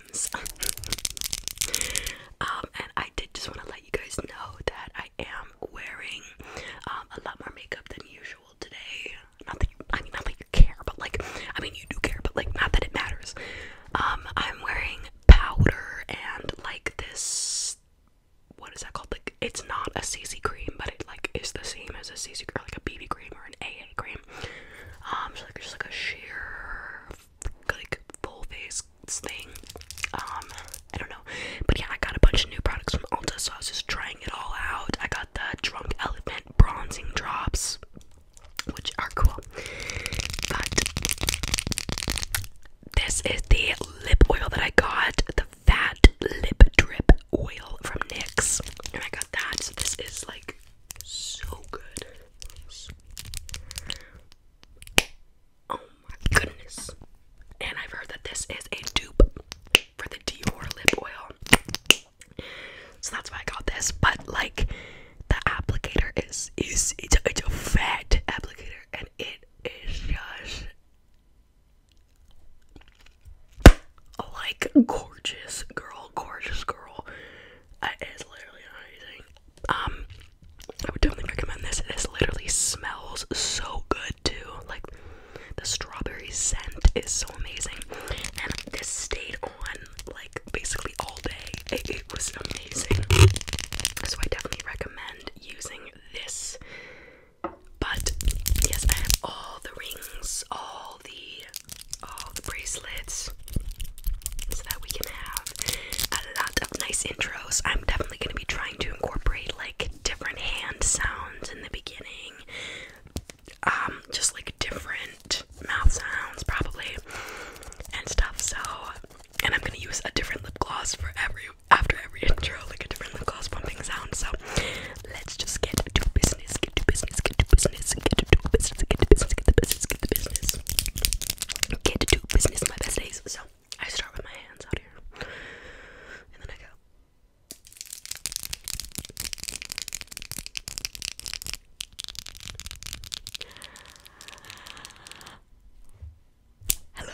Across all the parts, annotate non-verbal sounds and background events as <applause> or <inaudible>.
<laughs> Um, and I did just want to let you guys know that I am wearing um, a lot more makeup than usual today. Not that I mean, not that you care, but like, I mean, you do care, but like, not that it matters. Um, I'm wearing powder and like this. What is that called? Like, it's not a CC cream, but it like is the same as a CC cream, like a BB cream or an AA cream. Um, so like just like a sheer like full face thing. Um, I don't know, but yeah, I got a bunch of new products from Ulta, so I was just trying it all out. I got the Drunk Elephant bronzing drops, which are cool, but this is the lip oil that I got the Fat Lip Drip Oil from NYX, and I got that. So, this is like so good. Oh my goodness. And I've heard that this is a dupe for the Dior lip oil. So that's why I got this. But like the applicator is is it's a, it's a fat applicator and it is just like gorgeous girl, gorgeous girl. It is literally amazing. Um, I would totally recommend this. This literally smells so good too. Like the strawberry scent is so amazing, and this stayed on like basically all day. It, it was amazing. So I definitely recommend using this. But yes, I have all the rings, all the all the bracelets, so that we can have a lot of nice intros. I'm definitely going to be trying to incorporate like different hand sounds in the beginning, um, just like different mouth sounds probably and stuff. So, and I'm going to use a different lip gloss for every after every <laughs> intro, like a different lip gloss pumping sound. So, let's just get to business, get to business, get to business, get to business, get to business, get to business, get to business. Get to do business my best days. So I start with my hands out here, and then I go. hello,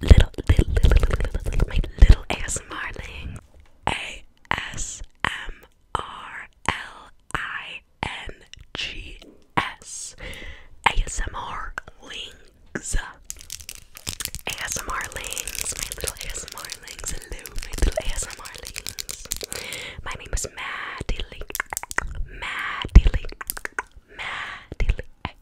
little, little, little, little, little, little, my little ASMR thing. A S M R L I N G S. ASMR links. ASMR links. My little ASMR links. Hello, my little ASMR links. My name is Maddie Link. Maddie Link. Maddie Link.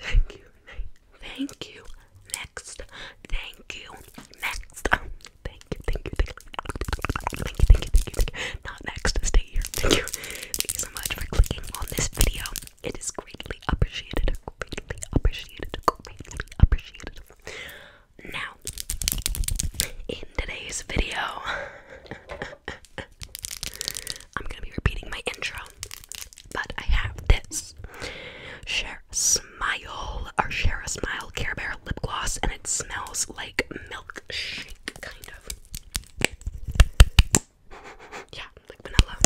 thank you, thank you. Next, thank you, next. thank you, thank you, thank you, thank you, thank you, thank you. Not next, stay here. Thank you, thank you so much for clicking on this video. It is greatly appreciated, greatly appreciated, greatly appreciated. Now, in today's video, I'm gonna be repeating my intro but I have this Share a Smile or Share a Smile Care Bear lip gloss, and it smells like milkshake, kind of. Yeah, like vanilla.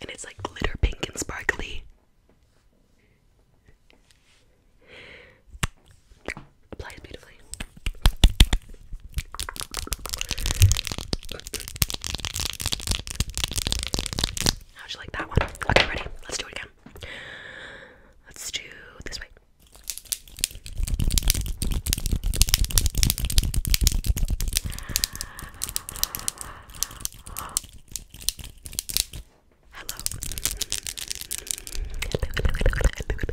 And it's like glitter pink and sparkly. Applies beautifully. How'd you like that one? Okay, ready? Let's do it again. Let's do this way. Hello. Hello, hello, hello, hello,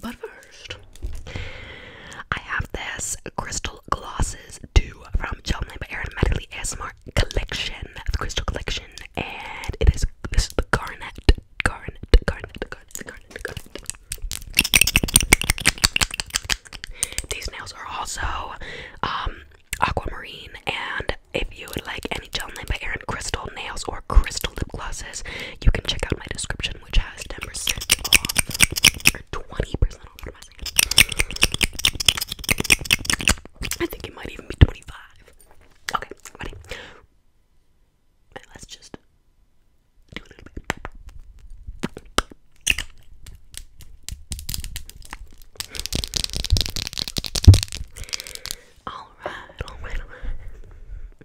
But first, I have this Crystal Glosses 2 from Gel by Erin Medley ASMR Collection, the Crystal Collection, and it is this is the garnet, garnet, garnet, garnet, garnet, garnet. These nails are also um, aquamarine, and if you would like any Gel by Erin Crystal nails or crystal lip glosses, you can check out my description which has 10% off or 20% off. What am I think it might even be 25. Okay, ready? let's just do a alright.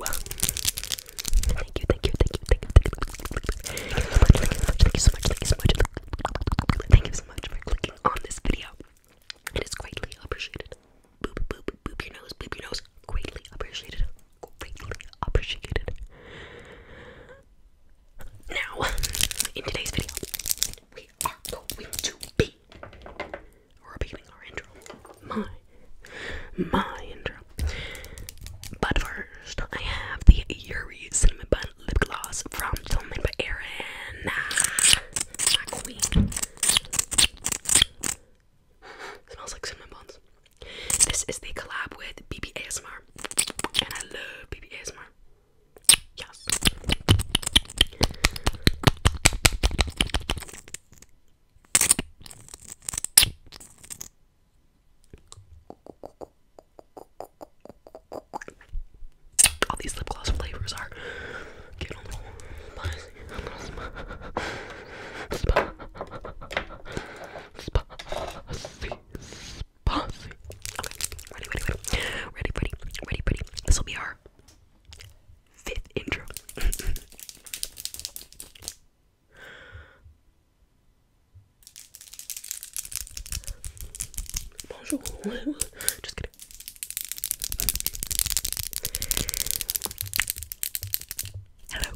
Thank you, thank you, thank you, thank you, thank you so much, thank you so much, thank you so much, thank you so much, for clicking on this video. It is greatly appreciated. boop, boop, boop your nose, boop your nose. Greatly appreciated. Greatly appreciated. Now, in today's video, we are going to be repeating our intro. My my But first, I have the Yuri Cinnamon Bun Lip Gloss from Filming by Erin. Smells like cinnamon buns. This is the collab with BB ASMR. And I love BB Yes. All these lip gloss flavors are getting spicy. spicy. Spicy. ready, ready, ready. Ready, ready, ready, ready. This will be our fifth intro. <laughs> Bonjour. Just kidding. Hello.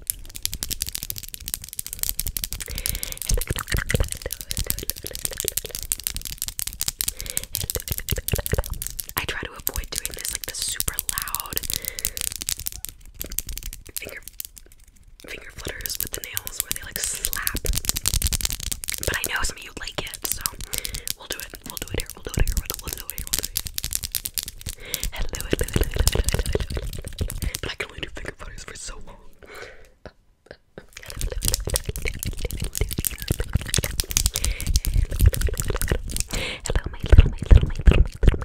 I try to avoid doing this like super loud finger finger flutters with the nails where they like slap. But I know some of you like it, so we'll do it. We'll do it here. We'll do it here. We'll do it here. We'll do it here. Hello, hello, hello, hello, hello, hello, hello. But I can only do finger flutters for so long. Hello, my little, my little, my little, my little,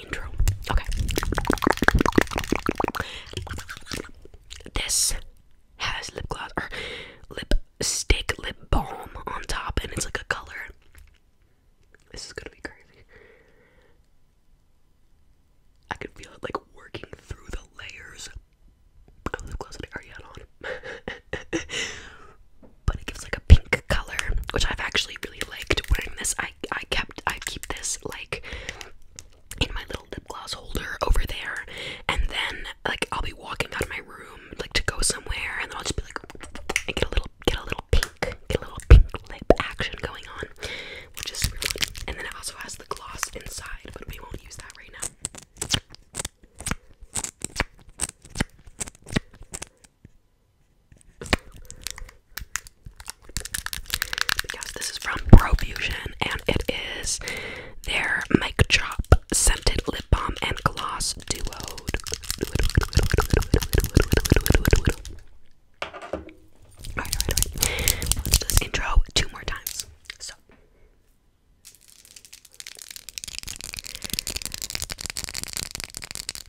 intro. Okay. This has lip gloss lipstick lip balm on top, and it's like a color. This is gonna be crazy. I can feel it like working through the layers of lip gloss that I already on. <laughs> but it gives like a pink color, which I've actually really liked. Wearing this, I I kept I keep this like in my little lip gloss holder over there, and then like I'll be walking out of my room like to go somewhere, and then I'll just be like and get a little get a little pink get a little pink lip action going on, which is really and then it also has the gloss inside, but we won't use that right now. Because this is from Profusion and it is their Mic Chop Scented Lip Balm and Gloss Duo. Alright, alright, alright. let this intro two more times. So.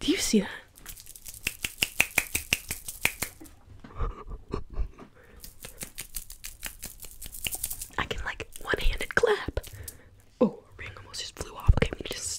Do you see that? I can like one-handed clap. Oh, ring almost just flew off. Okay, we just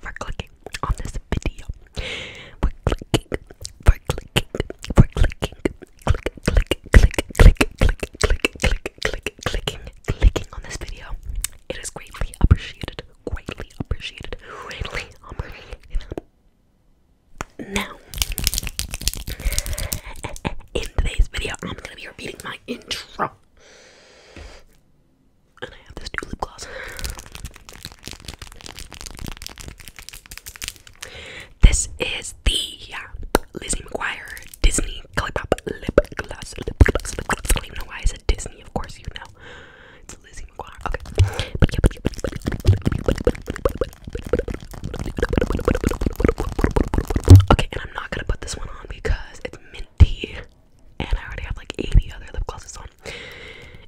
for clicking on this video. For clicking, for clicking, for clicking, click, click, click, click, click, click, click, clicking, clicking on this video. It is greatly appreciated, greatly appreciated, greatly Now, in today's video, I'm gonna be repeating my intro. And I have this new lip gloss. This is the Lizzie McGuire Disney Colourpop lip gloss. Lip gloss, lip gloss. I don't even know why I said Disney. Of course, you know it's Lizzie McGuire. Okay. But yeah, but yeah, but yeah. Okay, and I'm not gonna put this one on because it's minty and I already have like 80 other lip glosses on.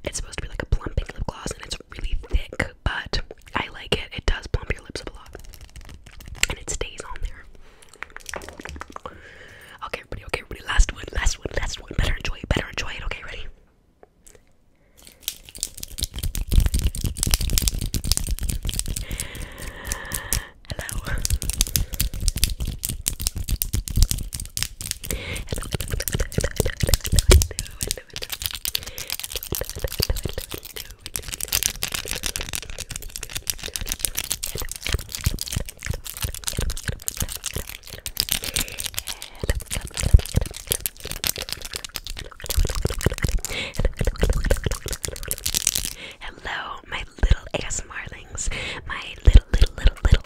It's supposed to be like a plumping lip gloss, and it's really thick, but I like it. It does plump your lips up a lot, and it stays on there. Okay, ready? Okay, ready? Last one. Last one. Last one. Better enjoy it. Better enjoy it. Okay, ready? Hello hello, my little ASMRlings, my little, little, little, little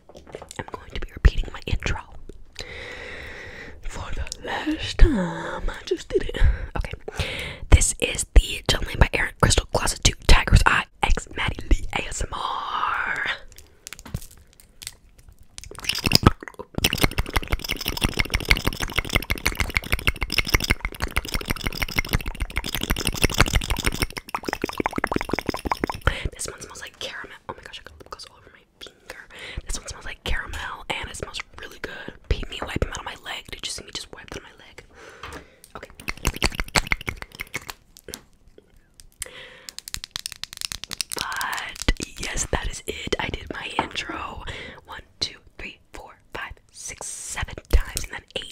I'm going to be repeating my intro for the last time. I just did it. Okay. This is the Gentleman by Aaron Crystal Closet 2 Tiger's I, X, X Maddie Lee ASMR. This one smells like caramel. Oh my gosh, it goes all over my finger. This one smells like caramel and it smells really good. Pete me wiping out of my leg. Did you see me just wipe out my leg? Okay. But yes, that is it. I did my intro. One, two, three, four, five, six, seven times, and then eight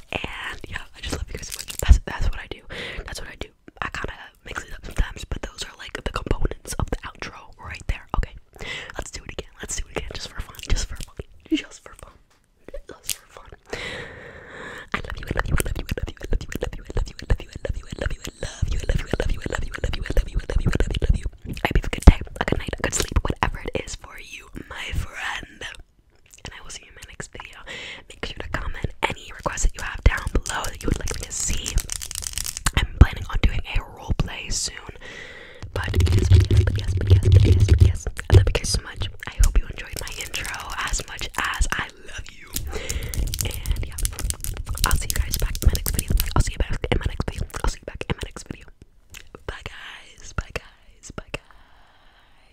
and yeah, I just love you guys so much. That's that's what I do. That's what I do. I kind of mix it up sometimes, but those are like the components of the outro right there. Okay, let's do it again. Let's do it again, just for fun. Just for fun. Just for fun. Just for fun. I love you. I love you. I love you. I love you. I love you. I love you. I love you. I love you. I love you. I love you. I love you. I love you. I love you. I love you. I love you. I love you. I love you. I love you. I love you. I hope you have a good day, a good night, a good sleep, whatever it is for you, my friend and I will see you in my next video. Make sure to comment any requests that you have down below that you would like me to see. I'm planning on doing a role play soon, but yes, but yes, but yes, but yes, but yes, but yes. I love you guys so much. I hope you enjoyed my intro as much as I love you. And yeah, I'll see you guys back in my next video. I'll see you back in my next video. I'll see you back in my next video. Bye guys. Bye guys. Bye guys.